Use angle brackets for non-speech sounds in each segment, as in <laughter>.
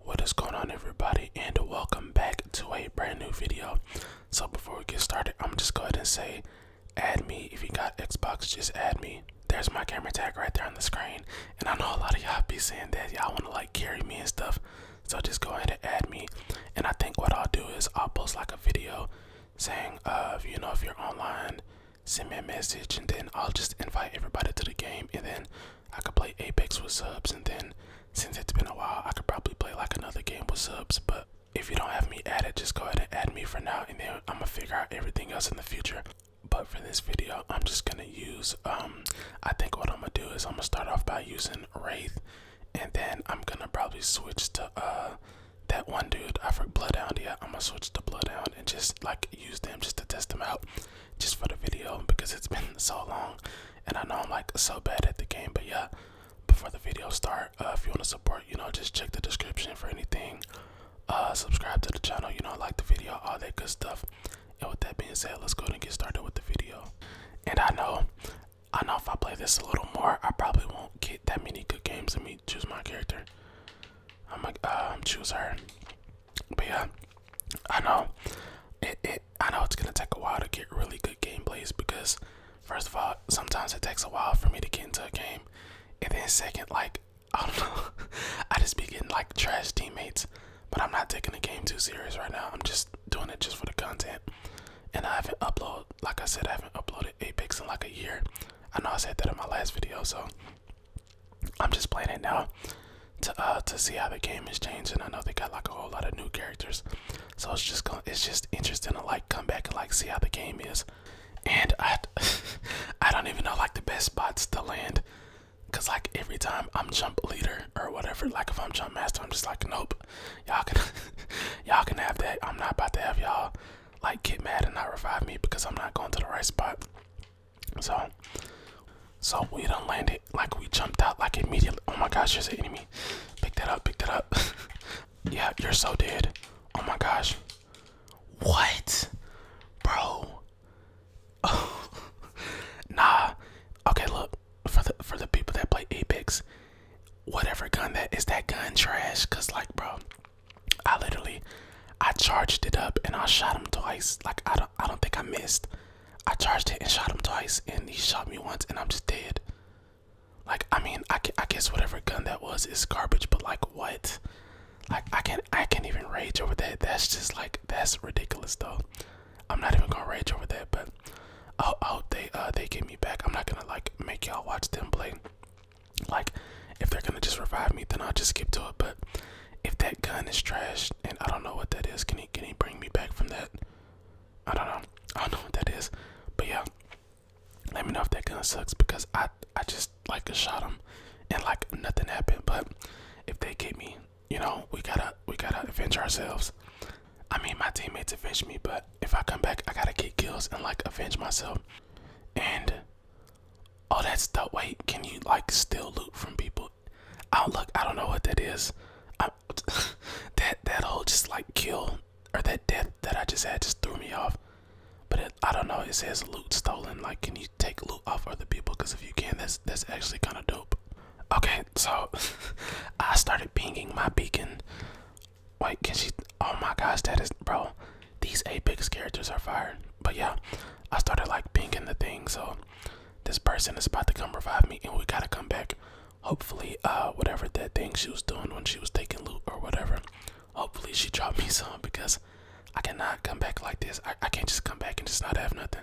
What is going on everybody and welcome back to a brand new video. So before we get started, I'm just go ahead and say add me. If you got Xbox, just add me. There's my camera tag right there on the screen. And I know a lot of y'all be saying that y'all wanna like carry me and stuff. So just go ahead and add me. And I think what I'll do is I'll post like a video saying of, uh, you know if you're online send me a message and then I'll just invite everybody to the game and then I could play Apex with subs, and then since it's been a while, I could probably play like another game with subs. But if you don't have me added, just go ahead and add me for now, and then I'm gonna figure out everything else in the future. But for this video, I'm just gonna use. Um, I think what I'm gonna do is I'm gonna start off by using Wraith, and then I'm gonna probably switch to uh that one dude. I forgot Bloodhound. Yeah, I'm gonna switch to Bloodhound and just like use them just to test them out just for the video because it's been so long and I know I'm like so bad at the game but yeah before the video start uh, if you want to support you know just check the description for anything uh, subscribe to the channel you know like the video all that good stuff and with that being said let's go and get started with the video and I know I know if I play this a little more I probably won't get that many good games let me choose my character I'm like um choose her but yeah, I know it, I know it's gonna take a while to get really good gameplays because first of all, sometimes it takes a while for me to get into a game. And then second, like <laughs> I don't know, I just be getting like trash teammates. But I'm not taking the game too serious right now. I'm just doing it just for the content. And I haven't uploaded, like I said, I haven't uploaded Apex in like a year. I know I said that in my last video, so I'm just playing it now to uh to see how the game is changing. I know they got like a whole lot of new characters, so it's just going to it's just interesting to like come back and like see how the game is. And I <laughs> I don't even know like the best spots to land, cause like every time I'm jump leader or whatever, like if I'm jump master, I'm just like nope, y'all can <laughs> y'all can have that. I'm not about to have y'all like get mad and not revive me because I'm not going to the right spot. So, so we don't land it like we jumped out like immediately. Oh my gosh, there's an enemy. Pick that up, pick that up. <laughs> yeah, you're so dead. Oh my gosh. What? Bro. <laughs> nah. Okay, look. For the for the people that play Apex, whatever gun that is that gun trash. Cause like bro, I literally I charged it up and I shot him twice. Like I do not I don't think I missed. I charged it and shot him twice, and he shot me once, and I'm just dead. Like, I mean, I, I guess whatever gun that was is garbage, but like, what? Like, I can't, I can't even rage over that. That's just like, that's ridiculous, though. I'm not even gonna rage over that, but oh oh they, uh, they get me back. I'm not gonna like make y'all watch them play. Like, if they're gonna just revive me, then I'll just skip to it. But if that gun is trashed and I don't know what that is, can he can he bring me back from that? I don't know. I don't know what that is. But yeah. Let me know if that gun sucks because I I just like shot him and like nothing happened. But if they get me, you know, we gotta we gotta avenge ourselves. I mean my teammates avenge me, but if I come back I gotta get kills and like avenge myself. And oh that's the wait, can you like steal loot from people? do I don't know what that is. <laughs> that that whole just like kill or that death that I just had just threw me off. But I don't know. It says loot stolen. Like, can you take loot off other people? Because if you can, that's that's actually kind of dope. Okay, so <laughs> I started pinging my beacon. Wait, can she? Oh my gosh, that is bro. These Apex characters are fired. But yeah, I started like pinging the thing. So this person is about to come revive me and we gotta come back hopefully uh whatever that thing she was doing when she was taking loot or whatever hopefully she dropped me <laughs> some because i cannot come back like this i, I can't just come back and just not have nothing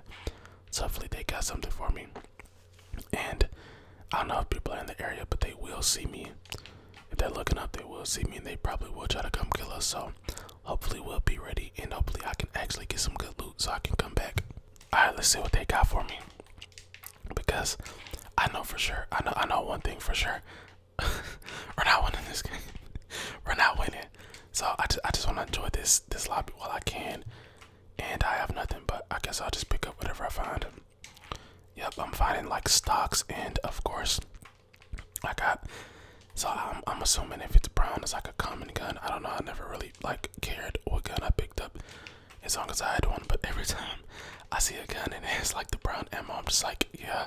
so hopefully they got something for me and i don't know if people are in the area but they will see me if they're looking up they will see me and they probably will try to come kill us so Hopefully we'll be ready and hopefully I can actually get some good loot so I can come back. Alright, let's see what they got for me. Because I know for sure, I know I know one thing for sure. <laughs> We're not winning this game. <laughs> We're not winning. So I just I just wanna enjoy this this lobby while I can. And I have nothing but I guess I'll just pick up whatever I find. Yep, I'm finding like stocks and of course I got so I'm, I'm assuming if it's brown, it's like a common gun. I don't know. I never really like cared what gun I picked up, as long as I had one. But every <laughs> time I see a gun and it's like the brown ammo, I'm just like, yeah,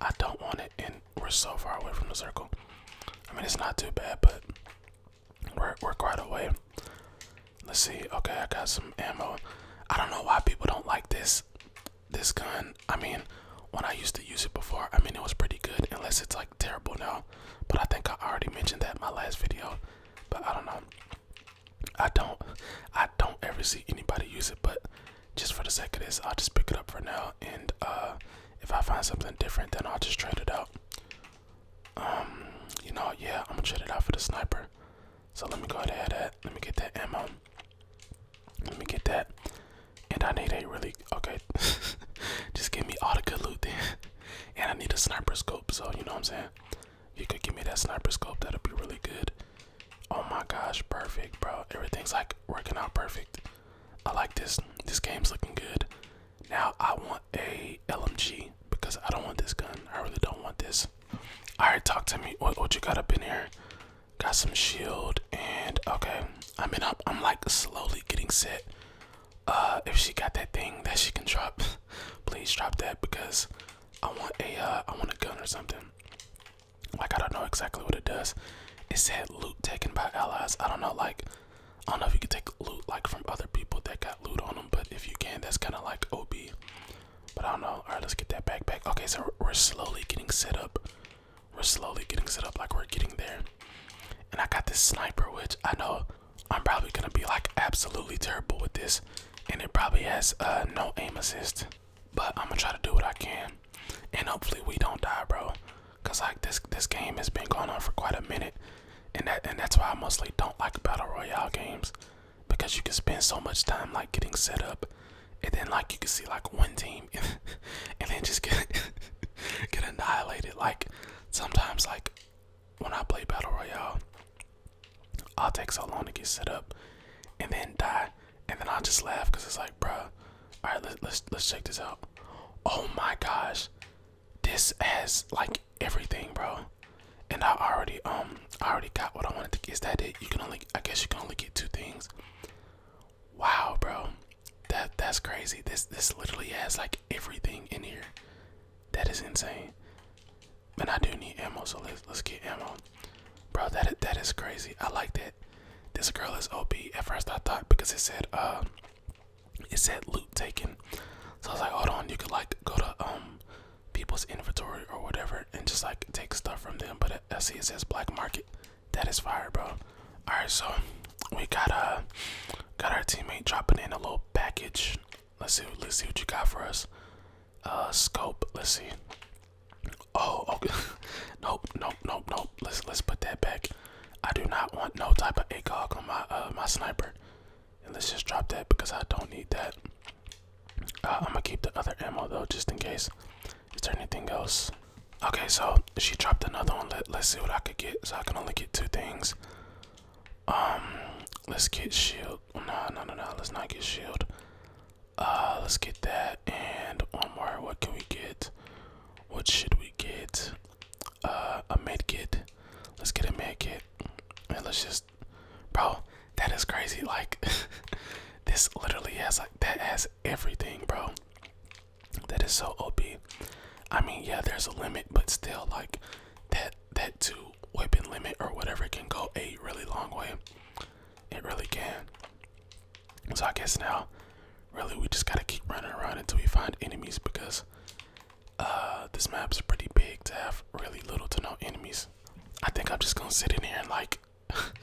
I don't want it. And we're so far away from the circle. I mean, it's not too bad, but we're we're quite away. Let's see. Okay, I got some ammo. I don't know why people don't like this this gun. I mean, when I used to use it before, I mean, it was pretty good. Unless it's like terrible now, but I think I already mentioned that in my last video. But I don't know. I don't. I don't ever see anybody use it, but just for the sake of this, I'll just pick it up for now. And uh, if I find something different, then I'll just trade it out. Um, you know, yeah, I'm gonna trade it out for the sniper. So let me go ahead and add that. Let me get that ammo. Let me get that. And I need a really okay. <laughs> just give me all the good loot then. And I need a sniper scope, so you know what I'm saying? You could give me that sniper scope, that'll be really good. Oh my gosh, perfect, bro. Everything's like working out perfect. I like this. This game's looking good. Now I want a LMG because I don't want this gun. I really don't want this. Alright, talk to me. what you got up in here? Got some shield and okay, I mean, I'm, I'm like slowly getting set. Uh, if she got that thing that she can drop, <laughs> please drop that because I want a uh, want a gun or something. Like I don't know exactly what it does. It said loot taken by allies. I don't know, like I don't know if you can take loot like from other people that got loot on them, but if you can, that's kind of like OB. But I don't know. All right, let's get that backpack. Okay, so we're slowly getting set up we're slowly getting set up like we're getting there. And I got this sniper, which I know I'm probably gonna be like absolutely terrible with this. And it probably has uh, no aim assist. But I'm gonna try to do what I can. And hopefully we don't die, bro. Cause like this this game has been going on for quite a minute. And that and that's why I mostly don't like battle royale games. Because you can spend so much time like getting set up. And then like you can see like one team <laughs> and, then just get <laughs> get annihilated. Like sometimes, like when I play battle royale, I'll take so long to get set up, and then die, and then I'll just laugh because it's like, bro, all right, let, let's let's check this out. Oh my gosh, this has like everything, bro. And I already um I already got what I wanted to get. Is that it? You can only I guess you can only get two things. Wow, bro. That that's crazy. This this literally has like everything in here. That is insane. But I do need ammo, so let's let's get ammo. Bro, that that is crazy. I like that. This girl is OP. At first I thought because it said um, it said loot taken. So I was like, hold on, you could like go to um people's inventory or whatever and just like take stuff from them. But I, I it says black market. That is fire, bro. All right, so we got uh got our teammate dropping in a little package. Let's see, let's see what you got for us. Uh, scope. Let's see. Oh, <laughs> okay. nope, nope, nope, nope. Let's let's put that back. I do not want no type of ACOG on my uh, my sniper. And let's just drop that because I don't need that. Uh, I'm gonna keep the other ammo though, just in case. Is there anything else? Okay, so she dropped another one. Let, let's see what I could get. So I can only get two things. Um, let's get shield. No, no, no, no. Let's not get shield. Uh, let's get that. And one more. What can we get? What should we get? Uh, a med kit. Let's get a med kit. And let's just, bro. That is crazy. Like, <laughs> this literally has like that has everything, bro. That is so OP. I mean, yeah, there's a limit, but still, like that that two weapon limit or whatever can go a really long way. It really can. So I guess now, really, we just gotta keep running around until we find enemies because uh, this map's pretty big to have really little to no enemies. I think I'm just gonna sit in here and like,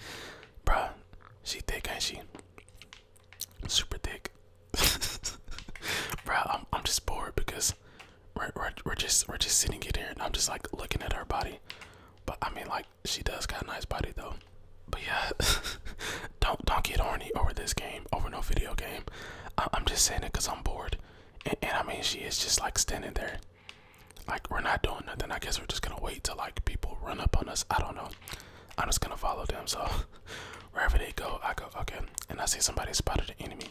<laughs> bruh, she thick ain't she? super thick. <laughs> Bro, I'm I'm just bored because we're, we're just we're just sitting it here and I'm just like looking at her body. But I mean like she does got a nice body though. But yeah, <laughs> don't don't get horny over this game, over no video game. I, am just saying it because I'm bored, and I mean she is just like standing there, like we're not doing nothing. I guess we're just gonna wait till like people run up on us. I don't know. I'm just gonna follow them. So <laughs> wherever they go, I go. Okay, and I see somebody spotted an enemy,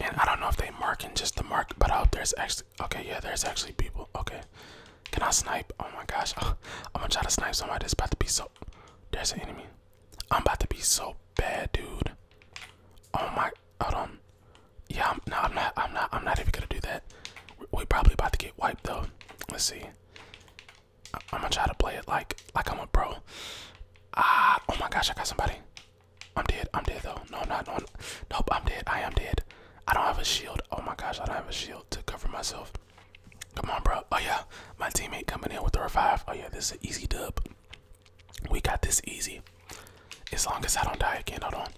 and I don't know if they marking just the mark, but out there's actually okay. Yeah, there's actually people. Okay, can I snipe? Oh my gosh, <laughs> I'm gonna try to snipe somebody. It's about to be so. There's an enemy. I'm about to be so bad, dude. Oh my, hold on. Yeah, no, I'm not. I'm not. I'm not even gonna do that. We, are probably about to get wiped though. Let's see. I am gonna try to play it like like I'm a bro. Ah, oh my gosh, I got somebody. I'm dead. I'm dead though. No, I'm not. No, nope, I'm dead. I am dead. I don't have a shield. Oh my gosh, I don't have a shield to cover myself. Come on, bro. Oh yeah, my teammate coming in with the revive. Oh yeah, this is an easy dub. We got this easy. As long as I don't die again, hold on.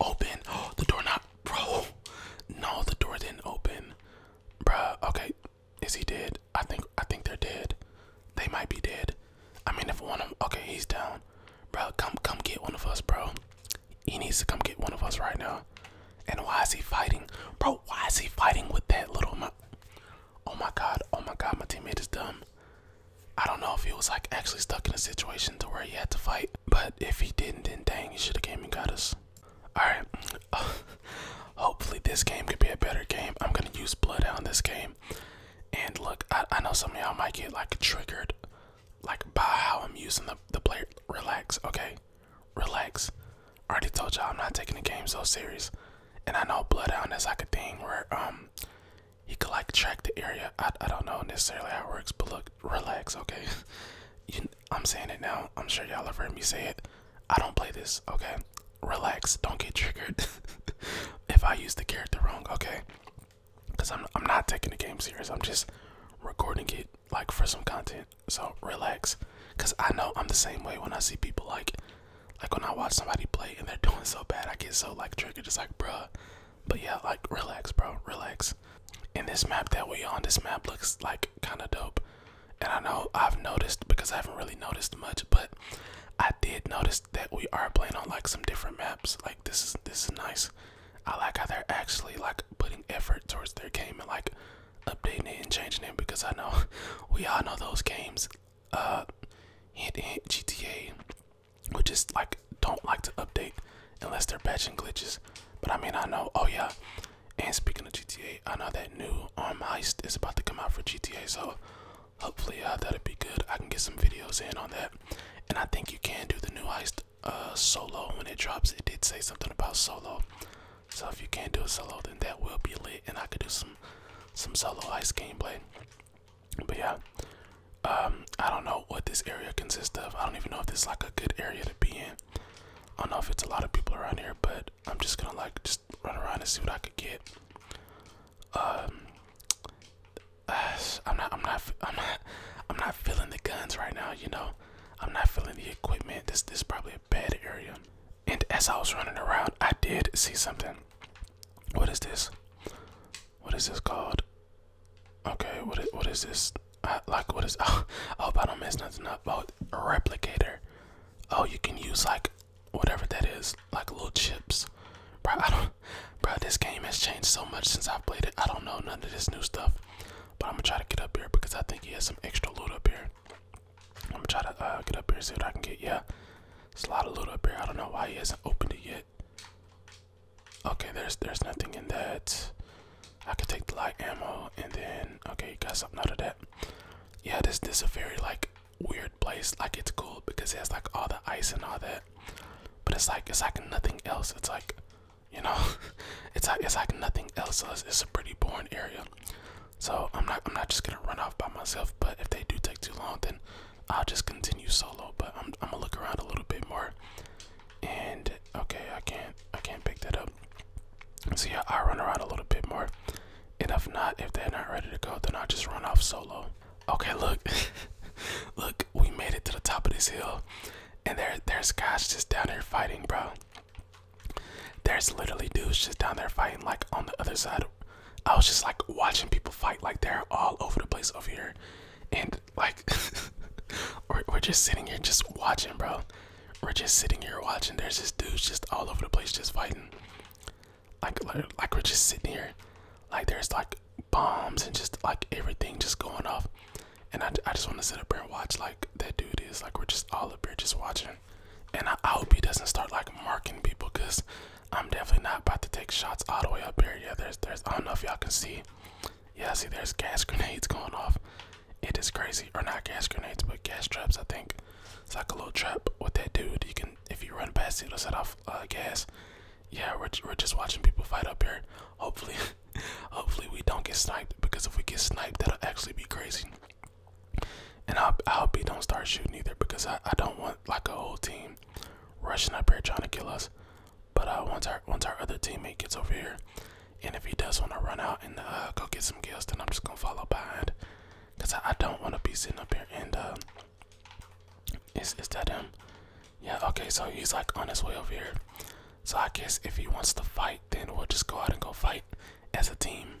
Open. <gasps> the door knob. Bro, no, the door didn't open. Bruh, okay. Is he dead? I think I think they're dead. They might be dead. I mean if one of okay, he's down. Bro, come come get one of us, bro. He needs to come get one of us right now. And why is he fighting? Bro, why is he fighting with that little Oh my god, oh my god, my teammate is dumb. I don't know if he was like actually stuck in a situation to where he had to fight, but if he didn't then dang he should have came and got us. Alright. <sighs> Hopefully this game could be a better game. I'm gonna use Bloodhound this game. And look, I, I know some of y'all might get like triggered like by how I'm using the, the player. Relax, okay? Relax. I already told y'all I'm not taking the game so serious. And I know Bloodhound is like a thing where um he could like track the area. I, I don't know necessarily how it works, but look, relax, okay? <laughs> I'm saying it now. I'm sure y'all have heard me say it. I don't play this, okay? Relax. Don't get triggered <laughs> if I use the character wrong, okay? Because I'm, I'm not taking the game serious. I'm just recording it like for some content. So relax. Because I know I'm the same way when I see people like, like when I watch somebody play and they're <laughs> doing so bad, I get so like triggered. Just like, bruh. But yeah, like relax, bro. Relax things in this map that we on. This map looks like kind of dope. And I know I've noticed because I haven't really noticed much, but I did notice that we are playing on like some different maps. Like this is this is nice. I like how they're actually like putting effort towards their game and like updating it and changing it because I know <laughs> we all know those games. Uh, hint, hint GTA, which just like don't like to update unless they're patching glitches. But I mean, I know. Oh yeah, and speaking of GTA, I know that new Arm um, Heist is about to come out for GTA, so hopefully uh, that'll be good. I can get some videos in on that. And I think you can do the new Heist uh, solo when it drops. It did say something about solo. So if you can't do a solo, then that will be lit, and I could do some some solo Heist gameplay. But yeah, um, I don't know what this area consists of. I don't even know if this is like a good area to be in. I don't know if it's a lot of people around here, but I'm just gonna like just run around and see what I could get. Um, <sighs> I'm not, I'm not, I'm not, I'm not feeling the guns right now. You know, I'm not feeling the equipment. This, this is probably a bad area. And as I was running around, I did see something. What is this? What is this called? Okay, what is what is this? like what is? Oh, <laughs> I hope I don't miss nothing up. Oh, replicator. Oh, you can use like whatever that is, like little chips. Bro, I don't. Bro, this game has changed so much since I've played it. I don't know none of this new stuff. But I'm gonna try to get up here because I think he has some extra loot up here. I'm gonna try to uh, get up here see what I can get. Yeah, there's a lot of loot up here. I don't know why he hasn't opened it yet. Okay, there's there's nothing in that. I could take the light ammo and then okay, got something out of that. Yeah, this this is a very like weird place. Like it's cool because it has like all the ice and all that. But it's like it's like nothing else. It's like you know, <laughs> it's like it's like nothing else. it's, it's a pretty boring area. So I'm not I'm not just gonna run off by myself. But if they do take too long, then I'll just continue solo. But I'm I'm gonna look around a little bit more and okay, I can't I can't pick that up. See, yeah, I run around a little bit more. And if not, if they're not ready to go, then I just run off solo. Okay, look. <laughs> look, we made it to the top of this hill. And there there's guys just down here fighting, bro. There's literally dudes just down there fighting like on the other side. I was just like watching people fight like they're all over the place over here. And like <laughs> we're, we're just sitting here just watching bro we're just sitting here watching there's this dudes just all over the place just fighting like like we're just sitting here like there's like bombs and just like everything just going off and i, I just want to sit up here and watch like that dude is like we're just all up here just watching and i, I hope he doesn't start like marking people because i'm definitely not about to take shots all the way up here yeah there's there's i don't know if y'all can see yeah see there's gas grenades <laughs> going off it is crazy, or not gas grenades, but gas traps. I think it's like a little trap with that dude. You can, if you run past it, it'll set off uh, gas. Yeah, we're we're just watching people fight up here. Hopefully, <laughs> hopefully we don't get sniped because if we get sniped, that'll actually be crazy. And I I hope he don't start shooting either because I I don't want like a whole team rushing up here trying to kill us. But uh, once our once our other teammate gets over here, and if he does want to run out and uh, go get some kills, then I'm just gonna follow behind, cause I, don't want to be sitting up here and uh, is is that him? Yeah. Okay. So he's like on his way over here. So I guess if he wants to fight, then we'll just go out and go fight as a team.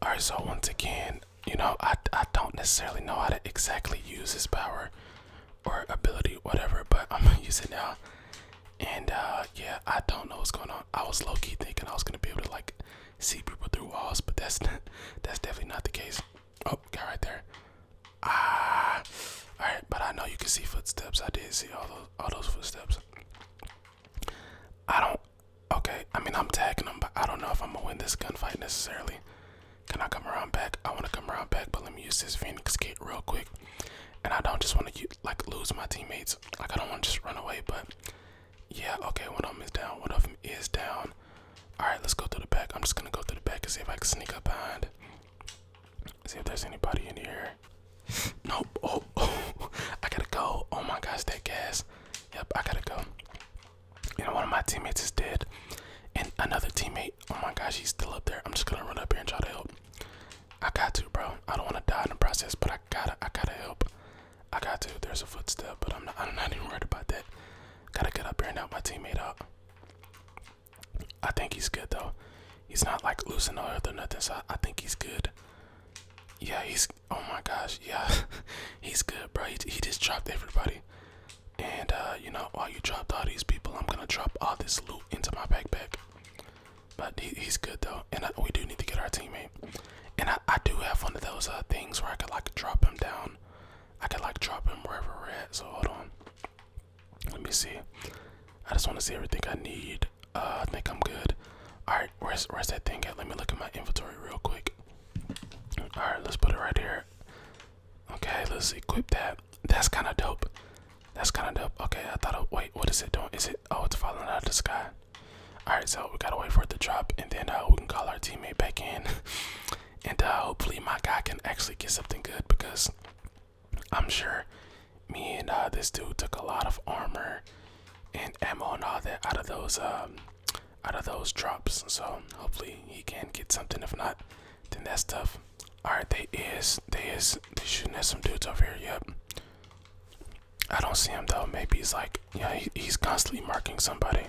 All right. So once again, you know, I I don't necessarily know how to exactly use his power or ability, whatever, but <laughs> I'm gonna use it now. And uh, yeah, I don't know what's going on. I was low key thinking I was gonna be able to like see people through walls, but that's <laughs> that's definitely not the case. Oh, guy right there. Ah, all right. But I know you can see footsteps. I did see all those all those footsteps. I don't. Okay, I mean I'm tagging them, but I don't know if I'm gonna win this gunfight necessarily. Can I come around back? I want to come around back, but let me use this Phoenix kit real quick and I don't just want to like lose my teammates. Like I don't want to just run away, but yeah, okay, one of them is down. One of them is down. All right, let's go through the back. I'm just gonna go through the back and see if I can sneak up behind. See if there's anybody in here. nope. Oh, oh, <laughs> I gotta go. Oh my gosh, that gas. Yep, I gotta go. You know, one of my teammates is dead, and another teammate Oh my gosh, he's still up there. I'm just gonna run up here and try to help. I got to, bro. I don't want to die in the process, but I gotta, I gotta help. I got to. There's a footstep, but I'm not, I'm not even worried about that. Gotta get up here and help my teammate out. I think he's good though. He's not like losing all earth or nothing, so I, think he's good. Yeah, he's. Oh my gosh, yeah, <laughs> he's good, bro. He, just dropped everybody. And uh, you know, while you dropped all these people, I'm gonna drop all this loot into my backpack. But he's good though, and we do need to get our teammate. And I, do have one of those uh, things where I could like drop him down. I could like drop him wherever we're at. So hold on. Let me see. I just want to see everything I need. Uh, I think I'm good. All right, where's where's that thing at? Let me look at my inventory real quick. All right, let's put it right here. Okay, let's equip that. That's kind of dope. That's kind of dope. Okay, I thought. Of, wait, what is it doing? Is it? Oh, it's falling out of the sky. All right, so we gotta wait for it to drop, and then uh, we can call our teammate back in, <laughs> and uh, hopefully my guy can actually get something good because I'm sure me and uh, this dude took a lot of armor and ammo and all that out of those um, out of those drops. So hopefully he can get something. If not, then that stuff. Alright, they is, they is, they shooting at some dudes over here, yep. I don't see him though, maybe he's like, yeah, he's constantly marking somebody.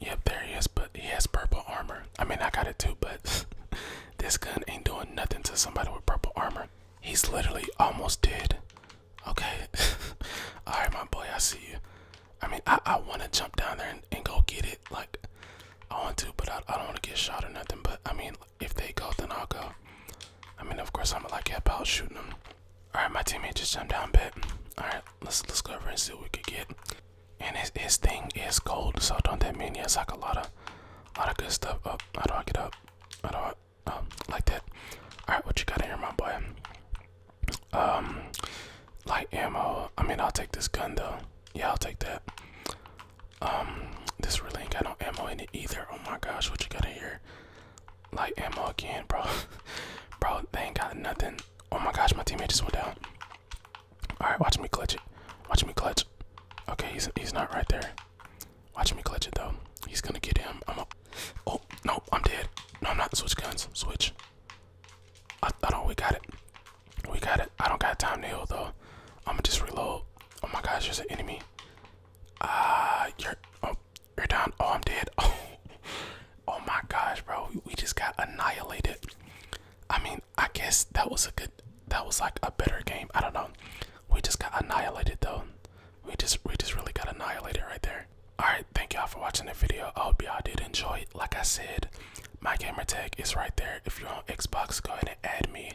Yep, there he is, but he has purple armor. I mean, I got it too, but <laughs> this gun ain't doing nothing to somebody with purple armor. He's literally almost dead. Okay, <laughs> alright my boy, I see you. I mean, I, I want to jump down there and, and go get it, like, I want to, but I, I don't want to get shot or nothing. But I mean, if they go, then I'll go. I mean, of course, I'm like about shooting them. All right, my teammate just jumped down bit. All right, let's let's go over and see what we could get. And his his thing is gold, so don't that mean he has like a lot of lot of good stuff? Up, oh, how do I get up? How do I um like that? All right, what you got in here, my boy? Um, light ammo. I mean, I'll take this gun though. Yeah, I'll take that. Um, this really ain't got no ammo in it either. Oh my gosh, what you got in here? Like ammo again, bro. <laughs> bro, they ain't got nothing. Oh my gosh, my teammate just went down. Alright, watch me clutch it. Watch me clutch. Okay, he's he's not right there. Watch me clutch it though. He's gonna get him. I'm a Oh, no, I'm dead. No, I'm not. Switch guns. Switch. I, I don't. We got it. We got it. I don't got time to heal though. I'ma just reload. Oh my gosh, there's an enemy. Ah, you're oh you're down. Oh, I'm dead. Oh, <laughs> oh my gosh, bro. we just got annihilated. I mean, I guess that was a good. That was like a better game. I don't know. We just got annihilated though. We just we just really got annihilated right there. All right, thank y'all for watching the video. I hope y'all did enjoy. Like I said, my gamer tag is right there. If you're on Xbox, go ahead and add me.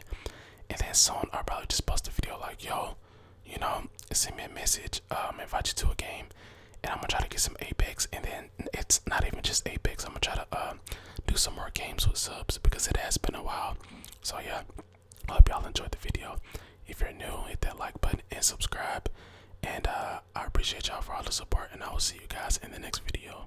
And then soon I'll probably just post a video like, yo, you know, send me a message, um, invite you to a game, and I'm gonna try to get some Apex. And then it's not even just Apex. I'm gonna try to uh, do some more games with subs because it has been a while. So yeah, I hope y'all enjoyed the video. If you're new, hit that like button and subscribe. And uh, I appreciate y'all for all the support, and I will see you guys in the next video.